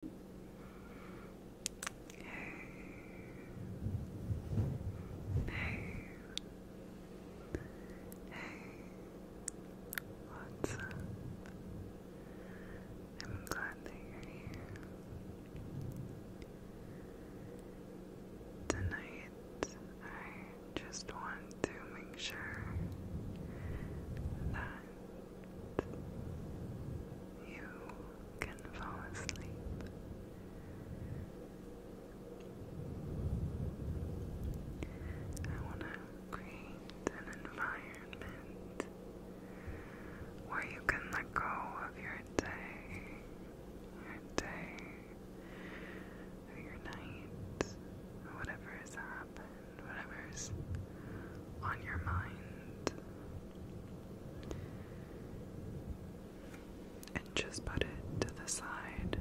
what's up? I'm glad that you're here. Tonight, I just want to make sure that you can fall asleep. I want to create an environment where you can let go of your day, your day, your night, whatever has happened whatever's on your mind. And just put it to the side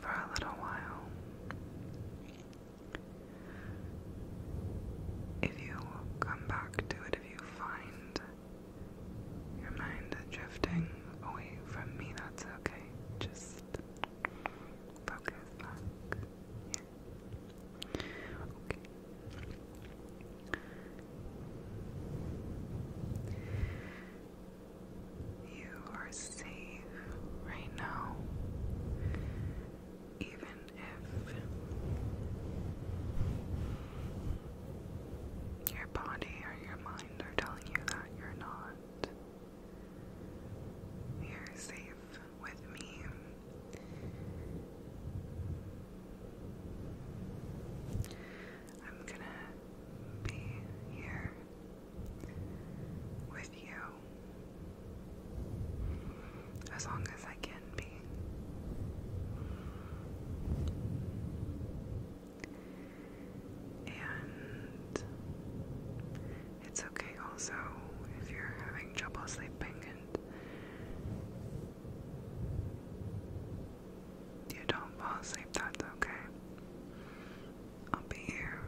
for a little while. If you come back to it, if you find your mind drifting away from me, that's okay. Just focus back you are safe right now, even if your body or your mind are telling you that you're not. You're safe with me. I'm gonna be here with you as long as I can be. And it's okay also if you're having trouble sleeping and you don't fall asleep, that's okay. I'll be here,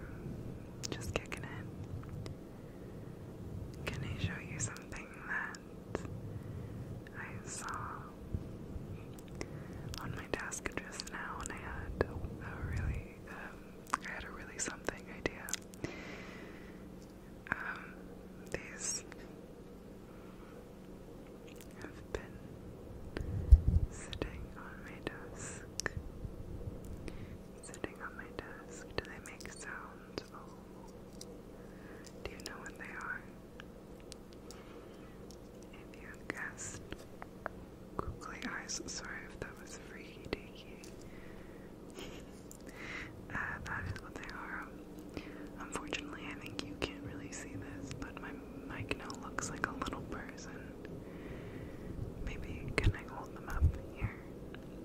just kicking in. Can I show you something that I saw on my desk just now? And I had a really, um, I had a really something idea um, these have been sitting on my desk. Sitting on my desk. Do they make sounds? Oh. Do you know what they are? If you guessed googly eyes, sorry if that was freaky deaky. Uh, that is what they are. Unfortunately, I think you can't really see this, but my mic now looks like a little person. Maybe can I hold them up here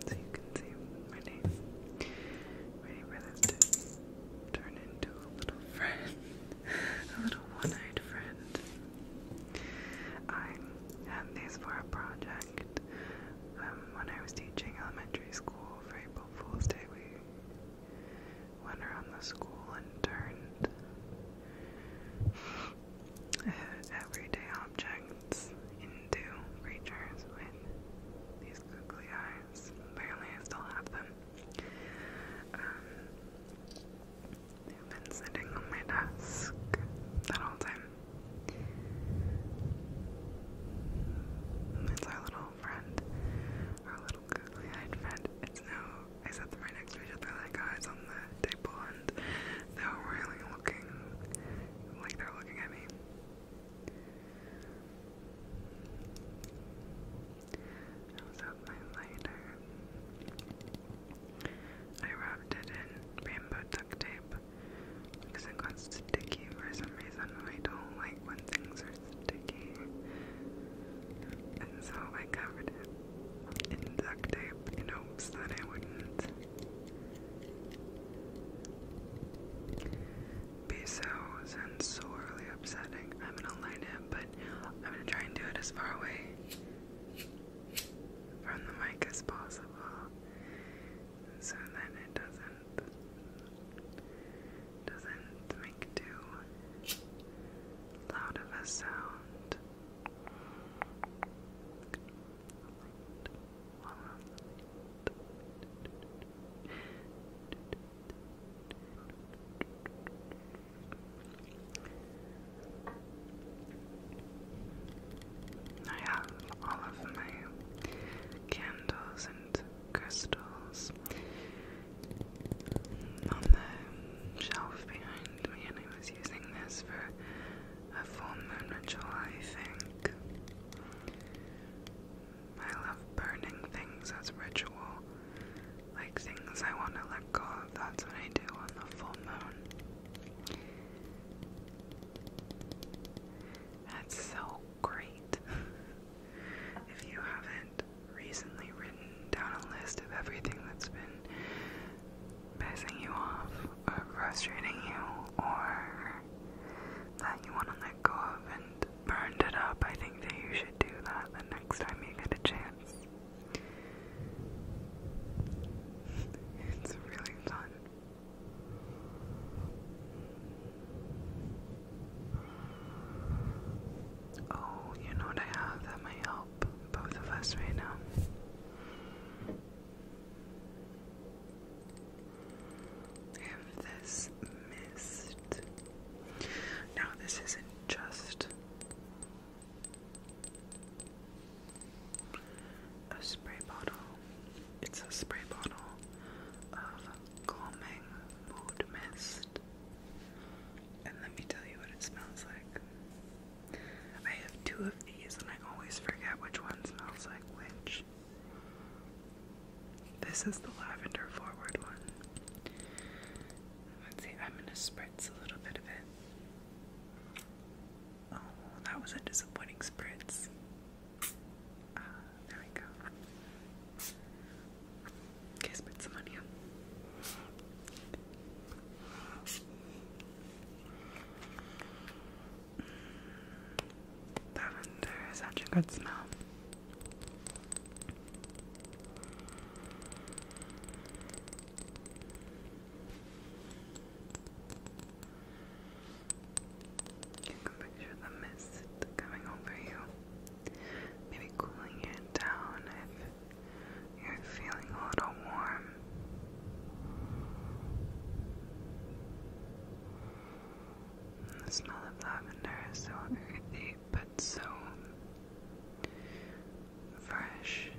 so you can see? Ready? Ready for this to turn into a little friend, a little one-eyed friend. I had these for a project fact, um, when I was teaching elementary school for April Fool's Day, we went around the school and turned everyday objects into creatures with these googly eyes. Apparently, I still have them. Um, they've been sitting on my desk that whole time. It's our little friend, our little googly-eyed friend. It's now, I set them next to each other like eyes on the table and they're really looking like they're looking at me. I was out my lighter. Uh, I wrapped it in bamboo duct tape because it got sticky for some reason I don't like when things are sticky. And so I covered it in duct tape, you know, so that I wouldn't be so sensorily upsetting. I'm gonna light it, but I'm gonna try and do it as far away from the mic as possible so then it doesn't doesn't make too loud of a sound. I have all of my candles and crystals on the shelf behind me, and I was using this for a full moon ritual, I think. I love burning things as ritual, like things I want to let go of. That's what I do on the full moon. That's so great. if you haven't recently written down a list of everything that's been pissing you off or frustrating you or that you want to let go of and burned it up, I think that you should do that the next time you get a chance. It's really fun. Oh, you know what I have that might help both of us right now. I this mist. Now, this isn't just a spray bottle. It's a spray bottle of calming mood mist. And let me tell you what it smells like. I have two of these and I always forget which one smells like which. This is the lavender forward one. Let's see, I'm gonna spritz a little bit of it. Oh, that was a disappointing spritz. Ah, there we go. Okay, spritz some on you. Lavender is such a good smell. You can picture the mist coming over you, maybe cooling it down if you're feeling a little warm. the smell of lavender is so earthy but so fresh.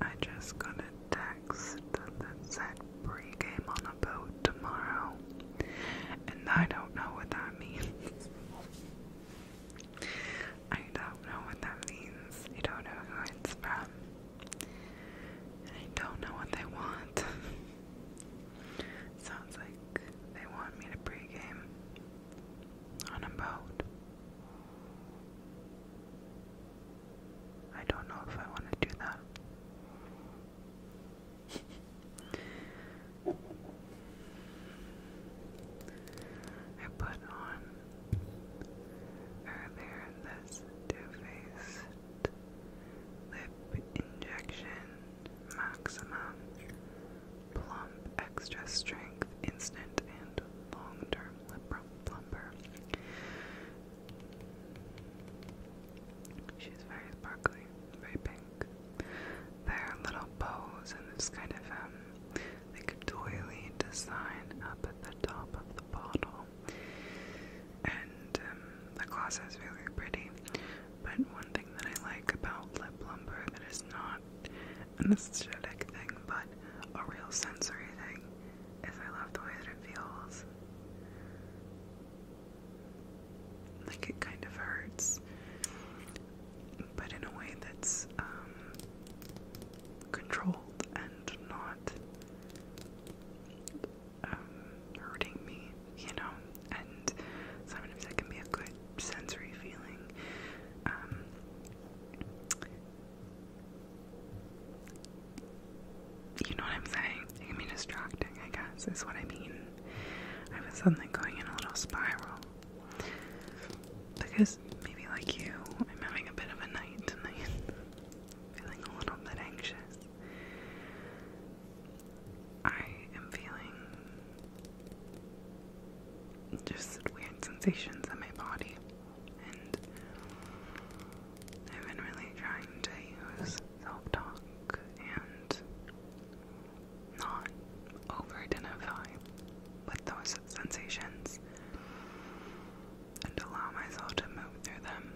I just got a text that said pregame on a boat tomorrow, and I don't know what that means. I don't know what that means. I don't know who it's from. I don't know what they want. Sounds like they want me to pregame on a boat. I don't know if I want to do that. I put on Earlier this two-faced lip injection, maximum, plump, extra strength, instant and long-term lip plumper. She's very sparkly, very pink. There are little bows in this kind of um, the Catoili design up at the top of the bottle. And um, the gloss is really pretty. But one thing that I like about lip lumber that is not an aesthetic thing, but a real sensory thing, is I love the way that it feels. Like it kind of hurts but in a way that's um, controlled and not um, hurting me, you know. And sometimes that can be a good sensory feeling. Um, you know what I'm saying? It can be distracting, I guess, is what I mean. I was suddenly going in a little spiral. Because maybe like you, I'm having a bit of a night tonight. feeling a little bit anxious. I am feeling just weird sensations in my body, and I've been really trying to use self talk and not overt identify with those sensations and allow myself to move through them.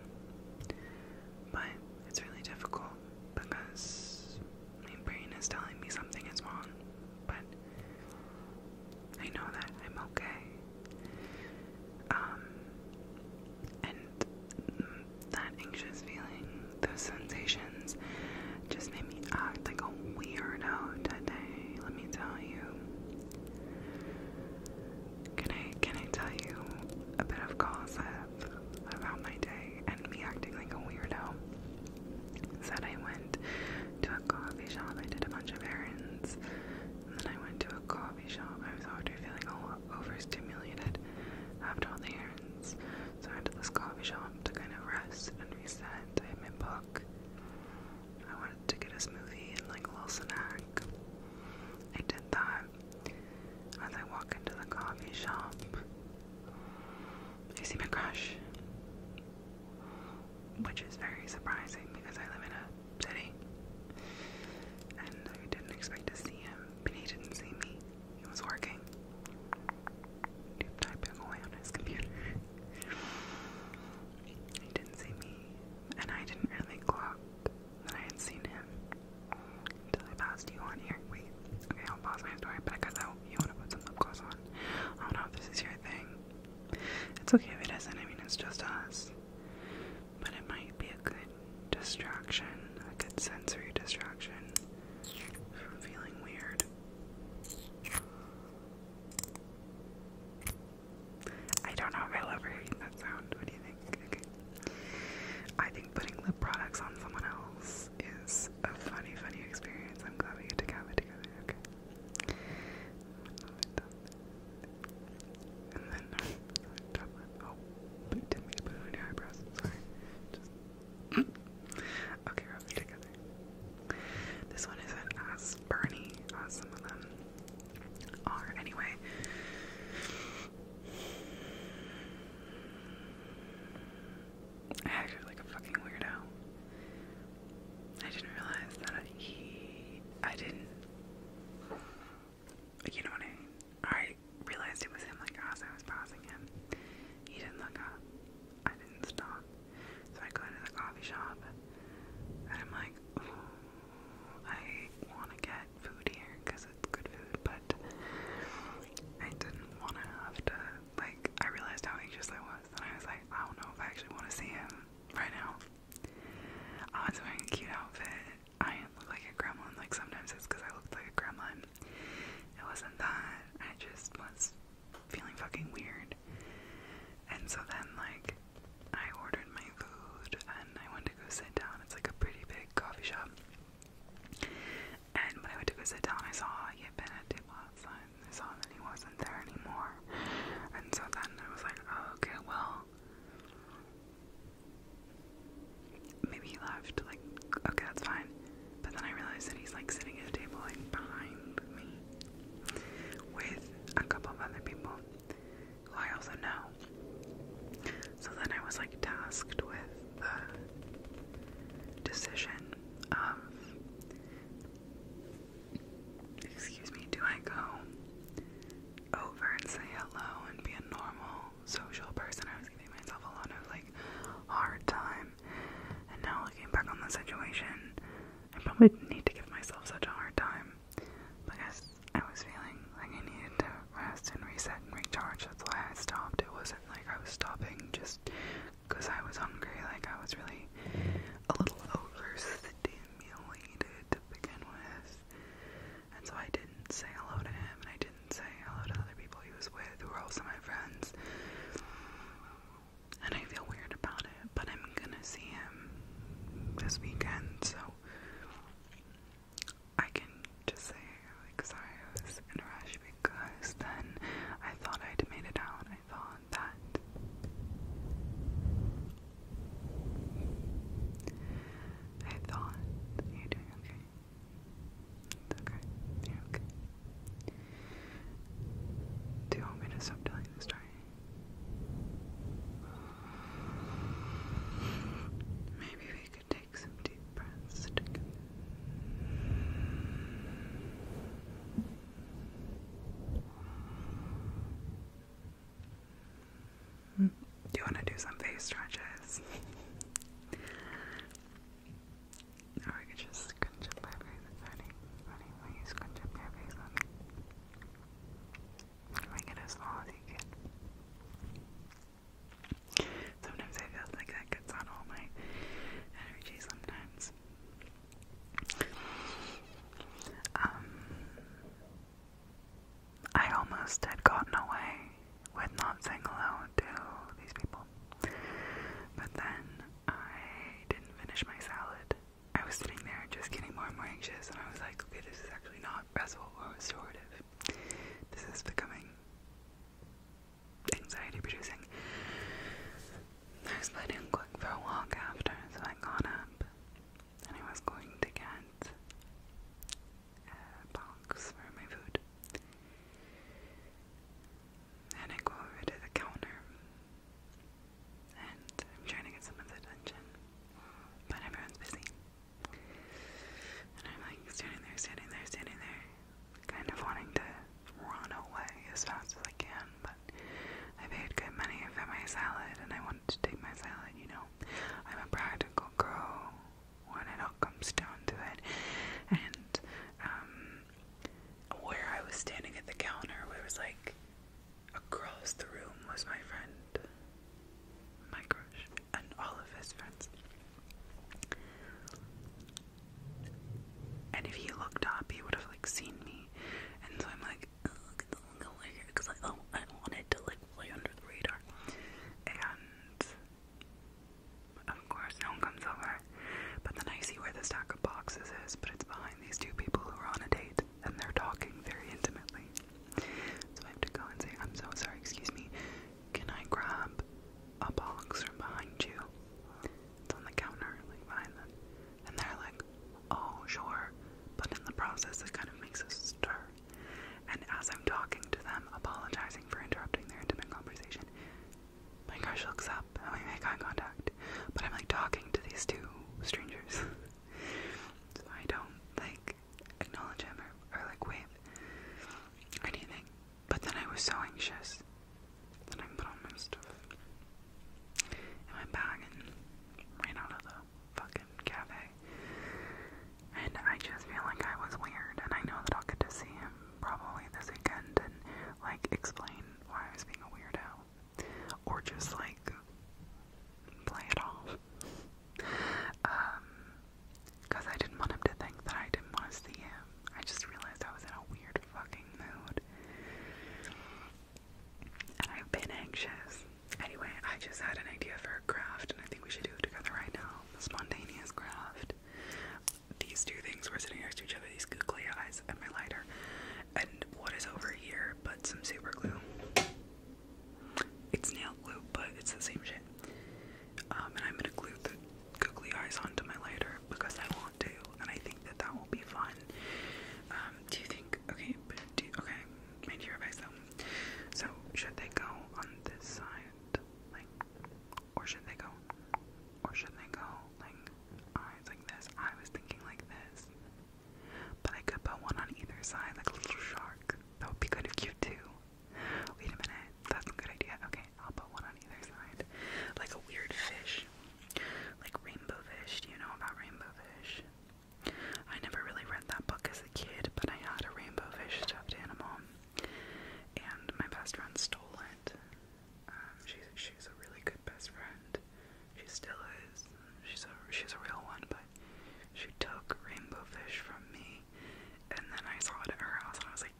But it's really difficult because my brain is telling me something is wrong, but I know that I'm okay. Um, and that anxious feeling, those sensations, just made me act like a weirdo today, let me tell you. Can I can I tell you a bit of gossip about my day and me acting like a weirdo? Said I went to a coffee shop, I did a bunch of errands, and then I went to a coffee shop. I was already feeling all overstimulated after all the errands. So I went to this coffee shop to kind of rest and reset. I had my I wanted to get a smoothie and like a little snack. I did that. As I walk into the coffee shop, I see my crush, which is very surprising because I live in a city and I didn't expect to see him, but he didn't see me. He was working typing away on his computer. he didn't see me, and I didn't really clock that I had seen him until I passed you on here. Wait, okay, I'll pause my story But I you want to put some lip gloss on. I don't know if this is your thing. It's okay if it isn't. I mean, it's just us. But it might be a good distraction, a good sensory distraction from feeling weird. I don't know if I love hearing that sound. What do you think? Okay. I think putting lip products on someone else is a funny, funny experience. I'm glad we get to have it together. Okay. And then uh, Oh, didn't mean to eyebrows. Sorry. okay, rub it together. This one isn't as Bernie as some of them are, anyway. I acted like a fucking weirdo. I didn't realize that he. I didn't. You know what I I realized it was him, like, as I was passing him. He didn't look up. I didn't stop. So I go into the coffee shop and I'm like, I want to get food here because it's good food, but I didn't want to have to, like, I realized how anxious I was. And I was like, I don't know if I actually want to see him right now. I was wearing a cute outfit. I didn't look like a gremlin. Like, sometimes it's because I look like a gremlin. It wasn't that. I just was feeling fucking weird. And so then, like, I ordered my food and I went to go sit down. It's like a pretty big coffee shop. And when I went to go sit down, I saw he had been at Tip and I saw that he wasn't there anymore. And so then I was like, oh, okay, well, maybe he left. Like, okay, that's fine. But then I realized that he's like sitting at a table like behind me with a couple of other people who I also know. So then I was like tasked with the decision excuse me, do I go over and say hello and be a normal social person? I was giving myself a lot of like hard time and now looking back on the situation, I probably need to give myself such a hard time. Because I was feeling like I needed to rest and reset and recharge. That's why I stopped. It wasn't like I was stopping just because I was hungry. Like I was really a little overstimulated to begin with. And so I didn't say hello to him and I didn't say hello to other people he was with who were also my friends and I feel weird about it, but I'm gonna see him this weekend, so I can just say, like, sorry, I was in a rush because then I thought I'd made it out. I thought that. I thought. Are doing okay? okay. you okay. Do you want me to stop telling the story? Maybe we could take some deep breaths mm, Do you want to do some face stretches? I could just scrunch up my face. It's funny when you scrunch up your face on me. Make it small as Sometimes I feel like that gets on all my energy sometimes. Um, I almost had gotten away with not saying hello to these people. But then I didn't finish my salad. I was sitting there just getting more and more anxious, and I was like, okay, this is actually not restful or restorative. This is becoming anxiety producing. I was planning on going for a walk after, so I got up and I was going to get a box for my food. And I go over to the counter and I'm trying to get someone's attention, but everyone's busy. And I'm like standing there, standing there, standing there, kind of wanting to run away as fast as I can, but I paid good money for my salad and I wanted to take my salad, you know. I'm a practical girl when it all comes down to it. And um where I was standing at the counter, where it was like across the room was my friend, my crush, and all of his friends. And if he looked up, he would have like seen me. And so I'm like, oh, I'm go here because I, oh, I wanted to like play under the radar. And of course, no one comes over. But then I see where the stack of boxes is, but it's behind these two people who are on a date and they're talking very intimately. So I have to go and say, I'm so sorry, excuse me, can I grab a box from behind you? It's on the counter, like behind them. And they're like, oh, sure. But in the process, it kind of makes a stir. And as I'm talking to them, apologizing for interrupting their intimate conversation, my crush looks up and we make eye contact, but I'm like talking to these two strangers. so I don't like acknowledge him or, or like wave or anything. But then I was so anxious that I put on my stuff in my bag and ran out of the fucking cafe. And I just feel like I was weird and I know that I'll get to see him probably this weekend and like explain why I was being a weirdo. Or just like play it off. Um because I didn't want him to think that I didn't want to see him. I just realized I was in a weird fucking mood. And I've been anxious. Anyway, I just had an idea for a craft and I think we should do it together right now. A spontaneous craft these two things were sitting next to each other, these googly eyes and my lighter. And what is over here but some super glue? It's nail glue, but it's the same shit. Um, and I'm gonna glue the googly eyes onto my lighter because I want to, and I think that that will be fun. Um, do you think? Okay, do okay. Mind your advice though. So should they go on this side, like, or should they go, or should they go holding eyes like this. I was thinking like this. But I could put one on either side, like a little shark. That would be kind of cute too. Wait a minute, that's a good idea. Okay, I'll put one on either side. Like a weird fish. Like rainbow fish. Do you know about rainbow fish? I never really read that book as a kid, but I had a rainbow fish stuffed animal. And my best friend stole it. Um, she's she's a really good best friend. She still is. She's a she's a real one, but she took rainbow fish from me, and then I saw it at her house, and I was like,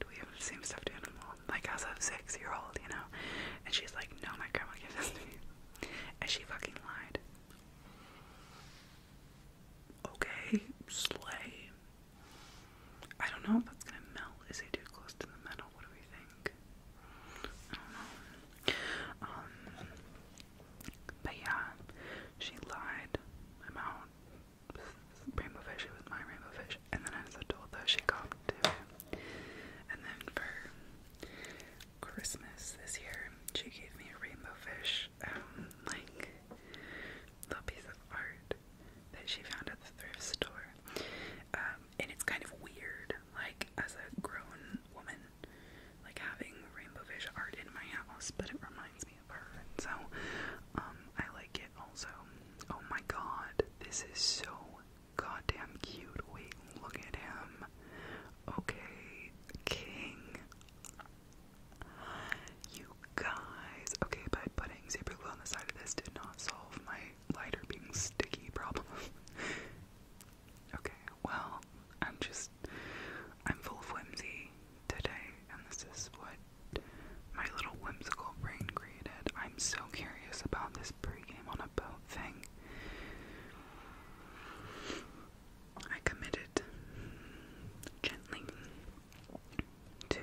"Do we have the same stuffed animal?" Like as a six-year-old, you know? And she's like, "No, my grandma gave this to me," and she fucking lied. Okay, slay. I don't know if that's gonna melt. Is it too close to the metal? What do we think? I don't know. Um, but yeah, she lied. I'm out. Rainbow fish, it was my rainbow fish. And then as a told that she copped it. And then for Christmas this year, she gave me a rainbow fish, um, like little piece of art that she found at the thrift store. Um, and it's kind of weird, like as a grown woman, like having rainbow fish art in my house, but it reminds me of her. And so, um, I like it also. Oh my god, this is so goddamn cute. Wait, look at him. Okay, King. You guys. Okay, but putting super glue on the side of this did not solve my lighter being sticky problem. okay, well, I'm just I'm full of whimsy today, and this is what my little whimsical brain created. I'm so curious about this pregame on a boat thing. I committed gently to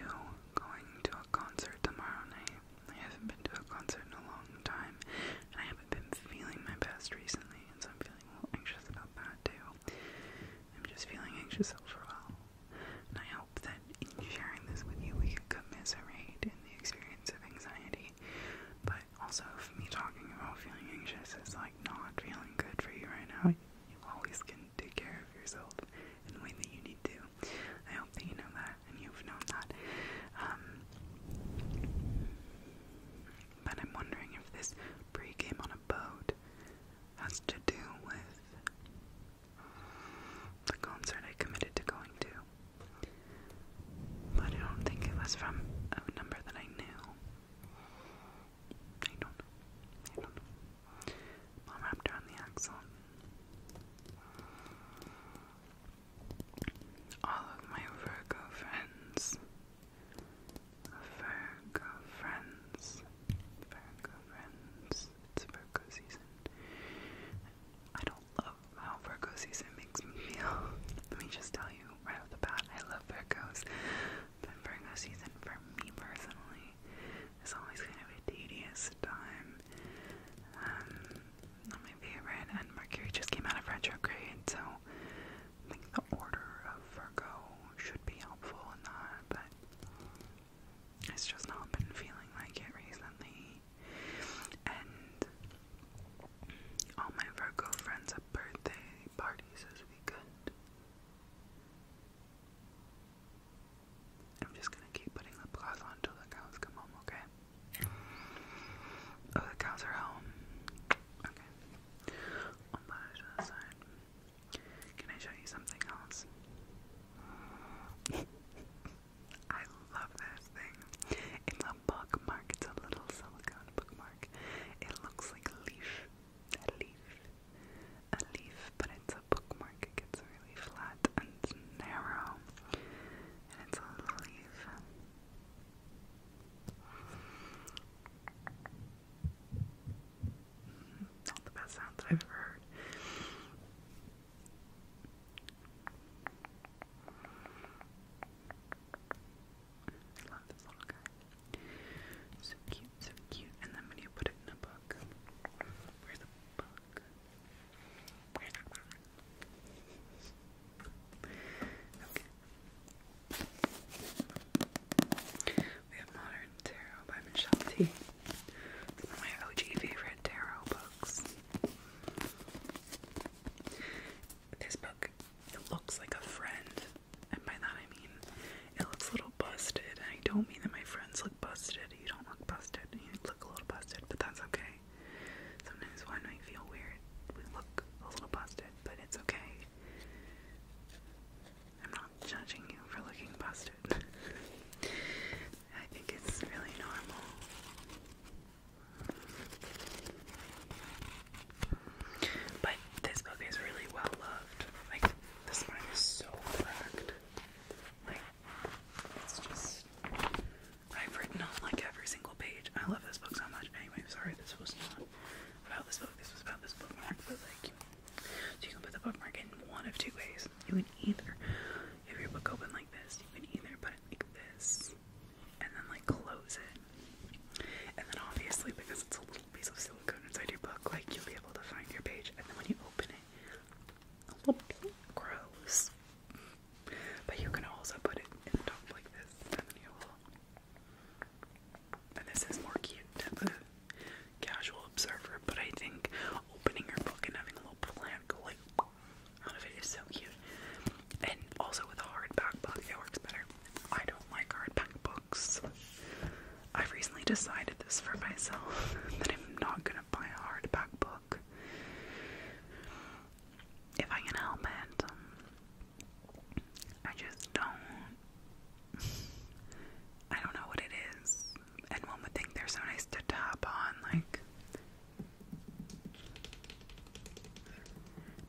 going to concert tomorrow night. I haven't been to a concert in a long time, and I haven't been feeling my best recently, and so I'm feeling a little anxious about that too. I'm just feeling anxious overall, and I hope that in sharing this with you, we can commiserate in the experience of anxiety. But also, if me talking about feeling anxious is like not feeling good for you right now, you always can take care of yourself in the way that you need to. I hope that you know that and you've known that. Um, but I'm wondering if this pregame on a boat has to do with the concert I committed to going to. But I don't think it was from a number that I knew. I don't I don't know. wrapped around the axle. All of my Virgo friends, Virgo friends, Virgo friends, it's Virgo season. I don't love how Virgo season makes me feel. Let me just tell you right off the bat, I love Virgos. But Virgo season for me personally it's always kind of a tedious time. Um, not my favorite, and Mercury just came out of retrograde, so I the order of Virgo should be helpful in that, but it's just not been feeling like it recently. And all my Virgo friends have birthday parties this weekend. I'm just gonna keep putting lip gloss on until the cows come home, okay? Oh, the cows are home. Okay. I'll put side. Can I show you something else? I love this thing. It's a bookmark. It's a little silicone bookmark. It looks like a leaf. A leaf. A leaf, but it's a bookmark really flat and narrow, and it's a leaf. Mm, not the best sound that I've ever heard. love this little guy. So cute, so cute. And then when you put it in a book, where's the book? We have Modern Tarot by Michelle T. my OG favorite tarot books. This book, it looks like a friend, and by that I mean it looks a little busted, and I don't mean that my friends look busted, you don't look busted. You look a little busted, but that's okay. Sometimes when we feel weird, we look a little busted, but it's okay. I'm not judging you for looking busted. I think it's really normal. But this book is really well loved. Like, the spine is so cracked. Like, it's just I've written on like every single page. I love this book so much. Anyway, sorry this was not about this book. This was about this bookmark, but like so you can put the bookmark in one of two ways. You can either if your book open like this, you can either put it like this and then like close it. And then obviously because it's a little piece of silicone inside your book, like you'll be able to find your page and then when you open it, a little gross. But you can also put it in the top like this, And this is more cute to the casual observer, but I think opening your book and having a little plant go like out of it is so cute. And also with a hardback book, it works better. I don't like hardback books. I've recently decided this for myself that I'm not gonna buy a hardback book book if I can help it. I just don't. I don't know what it is. And would think they're so nice to tap on, like.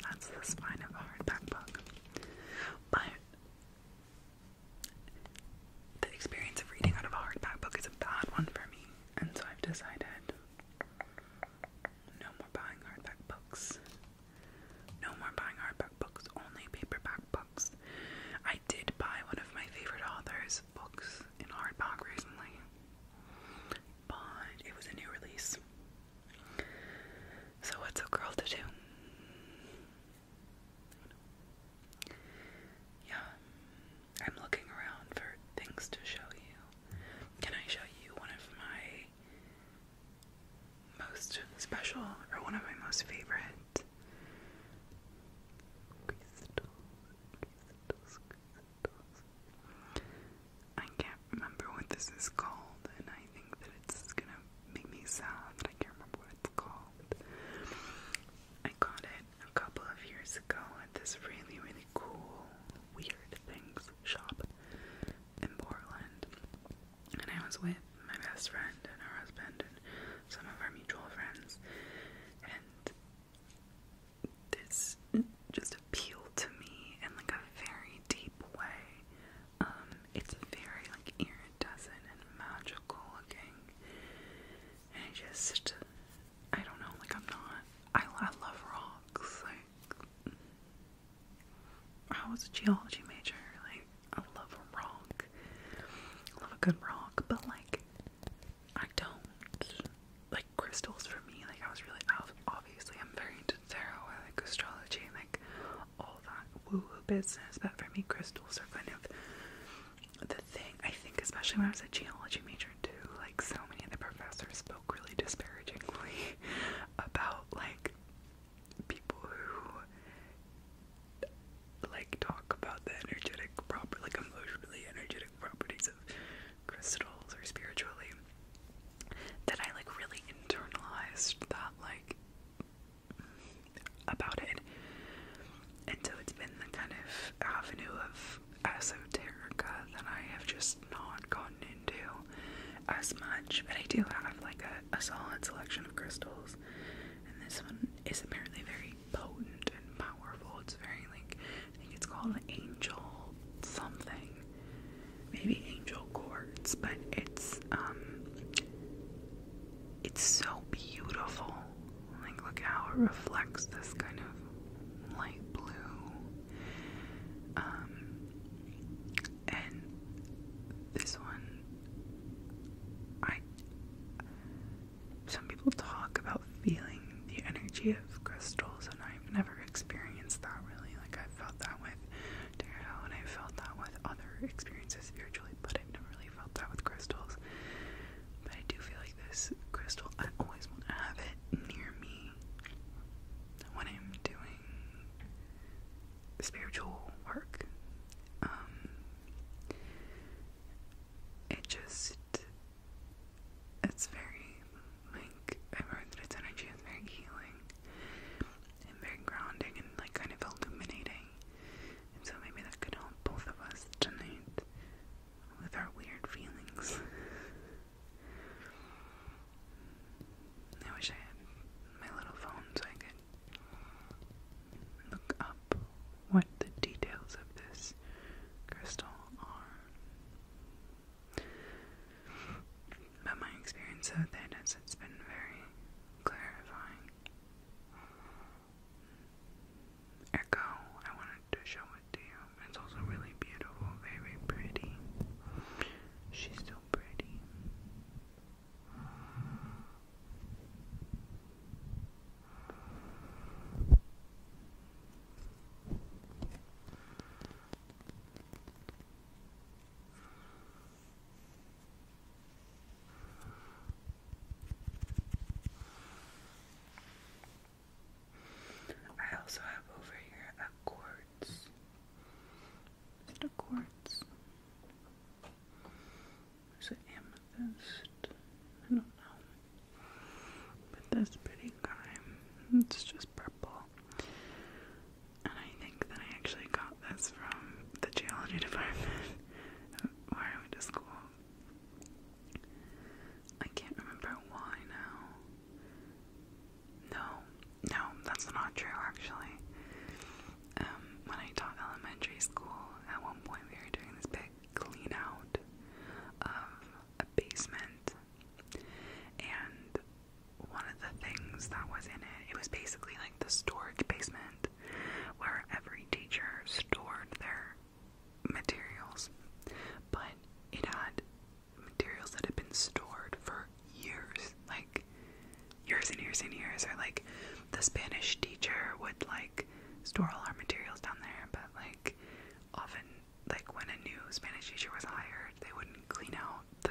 That's the spine of a hardback book. But the experience of reading out of a hardback book is a bad one for me, and so I've decided no more buying hardback books. No more buying hardback books, only paperback books. I did buy one of my favorite authors' books in hardback recently, but it was a new release. So, what's a girl to do? Yeah, I'm looking around for things to show you. Can I show you one of my most special or one of my most favorite crystals? I can't remember what this is called, and I think that it's gonna make me sad I can't remember what it's called. I got it a couple of years ago at this really, really cool Weird Things shop in Portland. And I was with my best friend and her husband and some of our mutual friends. And this just appealed to me in like a very deep way. Um, it's very like iridescent and magical looking. I just, I don't know, like I'm not, I, I love rocks, like, I was a geology major, like, I love a rock, love a good rock, but like, I don't, like, crystals for me, like, I was really, obviously, I'm very into tarot, I like astrology, like, all that woo-woo business, but for me, crystals are kind of the thing I think especially when I was a geology major too, like so many of the professors spoke really disparagingly about like people who like talk about the energetic proper like emotionally energetic properties of crystals or spiritually that I like really internalized that like about it. And so it's been the kind of avenue of esoterica that I have just not gotten into as much. But I do have like a, solid selection of crystals. And this one is apparently very potent and powerful. It's very like I think it's called an angel something. Maybe angel quartz, but it's um it's so beautiful. Like, look how it reflects this kind of light blue. Um, and this one, I. Some people talk about feeling the energy of crystals, and I've never experienced that really. Like, i felt that with tarot, and i felt that with other experiences spiritually, but I've never really felt that with crystals. But I do feel this crystal, I always want to have it near me when I'm doing spiritual work. Um, it just, it's very, like, I've heard that its energy is very healing and very grounding and, like, kind of illuminating so maybe that could help both of us tonight with our weird feelings. I wish I had my little phone so I could look up what the details of this crystal are. But my experience with it is it's been very clarifying. Echo, I wanted to show it to you. It's also really beautiful, very pretty. She's so pretty. I also have over here a quartz. a quartz? Is it amethyst? I don't know. But that's pretty crime. It's just purple. And I think that I actually got this from the geology department where I went to school. I can't remember why now. No, no, that's not true actually. Um, when I taught elementary school, at one point we were doing this big clean of a basement, and one of the things that was in it, it was basically like the storage basement where every teacher stored their materials, but it had materials that had been stored for years, like years and years and years, or like the Spanish teacher would like store all our materials down there, but like often like when a new Spanish teacher was hired, they wouldn't clean out the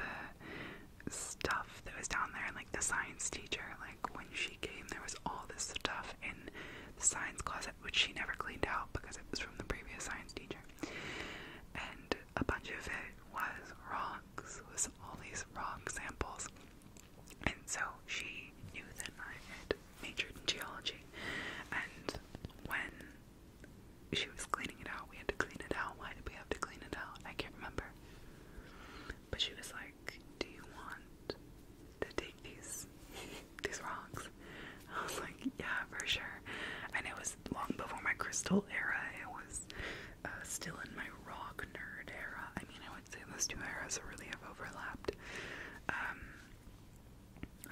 stuff that was down there, and like the science teacher, like when she came, there was all this stuff in the science closet, which she never cleaned out because it was from the previous science teacher. And a bunch of it was rocks, was all these rock samples. And so she knew that I had majored in geology. And when she was cleaning it out, we had to clean it out. Why did we have to clean it out? I can't remember. But she was like, Do you want to take these these rocks. I was like, yeah, for sure. And it was long before my crystal era. It was uh, still in my rock nerd era. I mean, I would say those two eras really have overlapped. Um,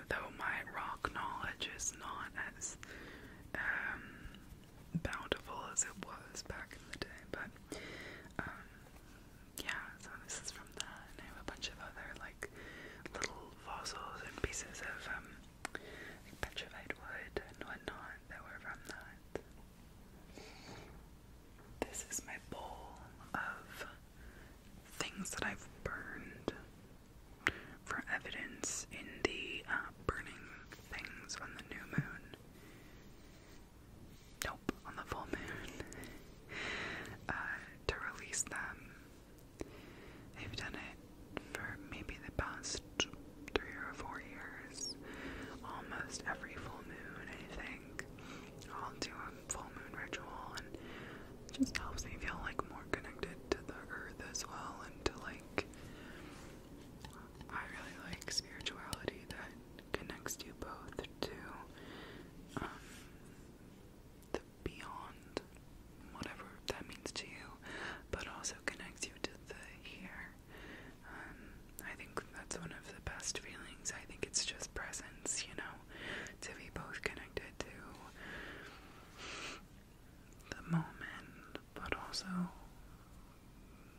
though my rock knowledge is not as um, bountiful as it was back in the day, but um, yeah, so this is from that, and I have a bunch of other like little fossils and pieces of um, like petrified wood and whatnot that were from that. This is my bowl of things that I've burned for evidence in the uh, burning things on the new moon nope, on the full moon, uh, to release them. They've done it for maybe the past three or four years, almost every full moon, I think. I'll do a full moon ritual, and it just helps me feel like more connected to the earth as well, and to like. I really like spirituality that connects you both to the beyond, whatever that means to you, but also connects you to the here. Um, I think that's one of the best feelings. I think it's just presence, you know, to be both connected to the moment, but also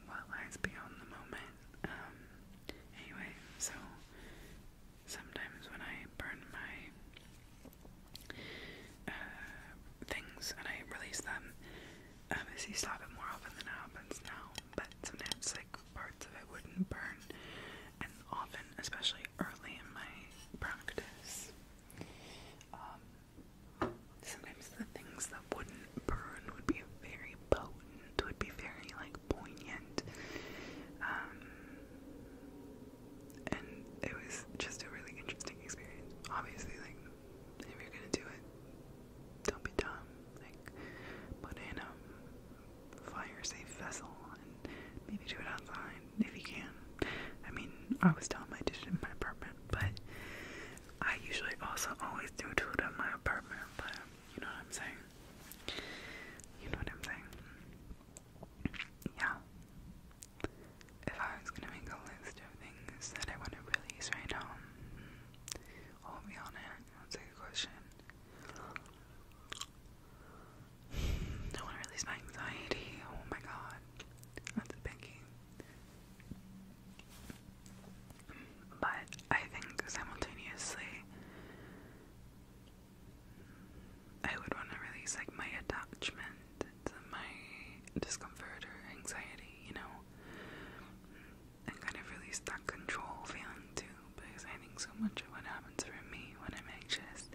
what lies beyond the moment. Um, Anyway, so sometimes when I burn my uh, things and I release them, obviously um, stop it more often than it happens now, but sometimes like parts of it wouldn't burn, and often, especially early in my practice, um, sometimes the things that wouldn't burn would be very potent, would be very like poignant. Um, and it was just a really interesting experience. Obviously, like if you're gonna do it, don't be dumb. Like put in a fire-safe vessel and maybe do it outside if you can. I mean, I was dumb. I did it in my apartment, but I usually also always do it in my apartment. But you know what I'm saying? You know what I'm saying? Yeah. If I was gonna make a list of things that I want to release right now, hold hmm, me on it. That's a good question. I want to release my anxiety. Oh my god, that's a biggie. But I think simultaneously, I would want to release like my attachment to my discomfort or anxiety, you know, and kind of release that control feeling too. Because I think so much of what happens for me when I'm anxious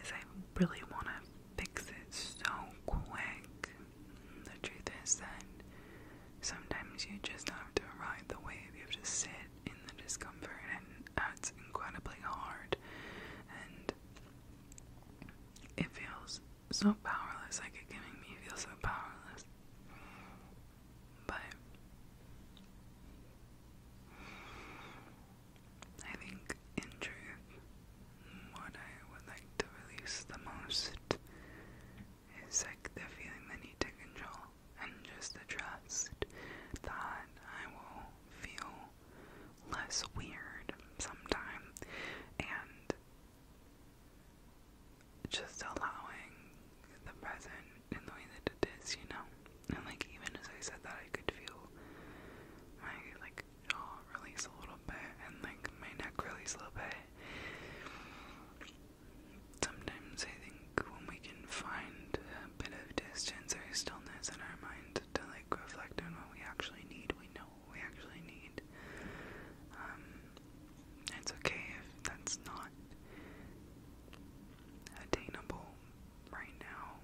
is I really want to fix it so quick. The truth is that Sometimes you just have to ride the wave, you have to sit in the discomfort, and that's incredibly hard. And it feels so powerless, like it can make me feel so powerless. But I think, in truth, what I would like to release the most it's like the feeling the need to control and just the trust that I will feel less weird sometimes, and just allowing the present in the way that it is, you know. And like even as I said that I could feel my like jaw release a little bit and like my neck release a little bit. Sometimes I think when we can find a bit of distance or stillness in our mind to like reflect on what we actually need, we know what we actually need. Um, it's okay if that's not attainable right now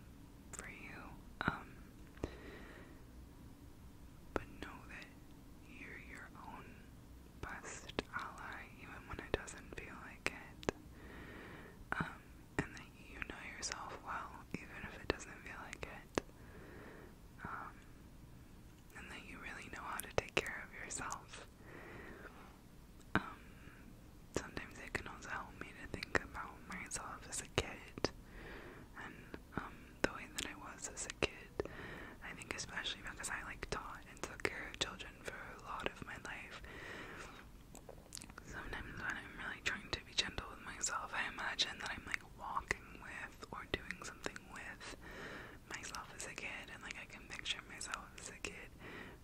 for you. Um, but know that you're your own best ally even when it doesn't feel like it. Um, and that you know yourself well even if it doesn't feel like it. Um, and that you really know how to take care of yourself. Um, sometimes it can also help me to think about myself as a kid and the way that I was as a kid I think especially because I like taught and took care of children for a lot of my life. Sometimes when I'm really trying to be gentle with myself, I imagine that I'm like walking with or doing something with myself as a kid, and like I can picture myself as a kid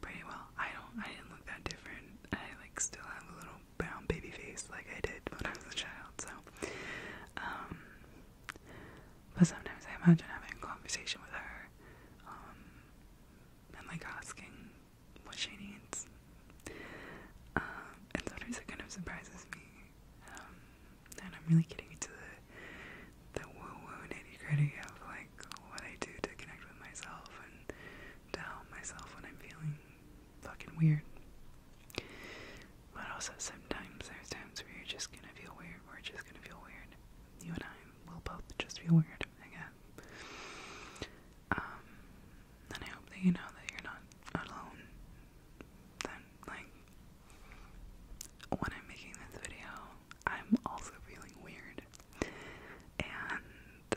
pretty well. I don't, I didn't look that different. I like still have a little brown baby face like I did when I was a child, so um, but sometimes I imagine having a conversation with her, um, and like asking what she needs. Um, and sometimes kind of surprises me. Um, and I'm really getting into the the woo-woo nitty-gritty of like what I do to connect with myself and to help myself when I'm feeling fucking weird. But also sometimes there's times where you're just gonna feel weird, we're just gonna feel weird you and I will both just feel weird again. Um, and I hope that you know that you're not alone. Then, like, when I'm making this video, I'm also feeling weird. And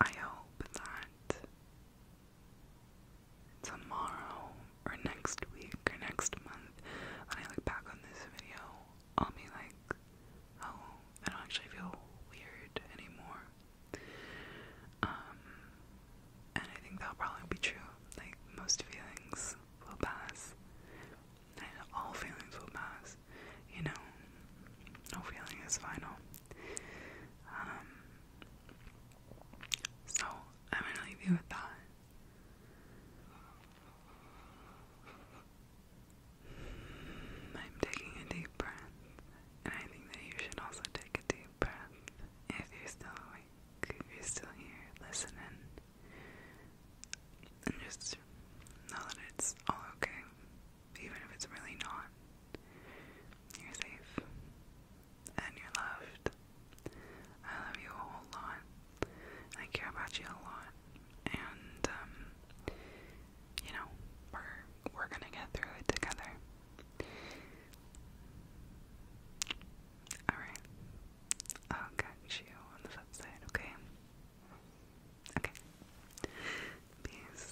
I hope that tomorrow or next week or next month, when I look back on this video, I'll be like, oh, I don't actually feel weird anymore. Um, and I think that'll probably be true. Like, most feelings will pass. And all feelings will pass. You know, no feeling is final. Um, so, I'm gonna leave you with that. I'm taking a deep breath, and I think that you should also take a deep breath if you're still awake, you're still here listening, and just know that it's all okay, even if it's really not. You're safe and you're loved. I love you a whole lot. I care about you a lot. And, um, you know, we're, we're gonna get through it together. Alright. I'll catch you on the flip side, okay? Okay. Peace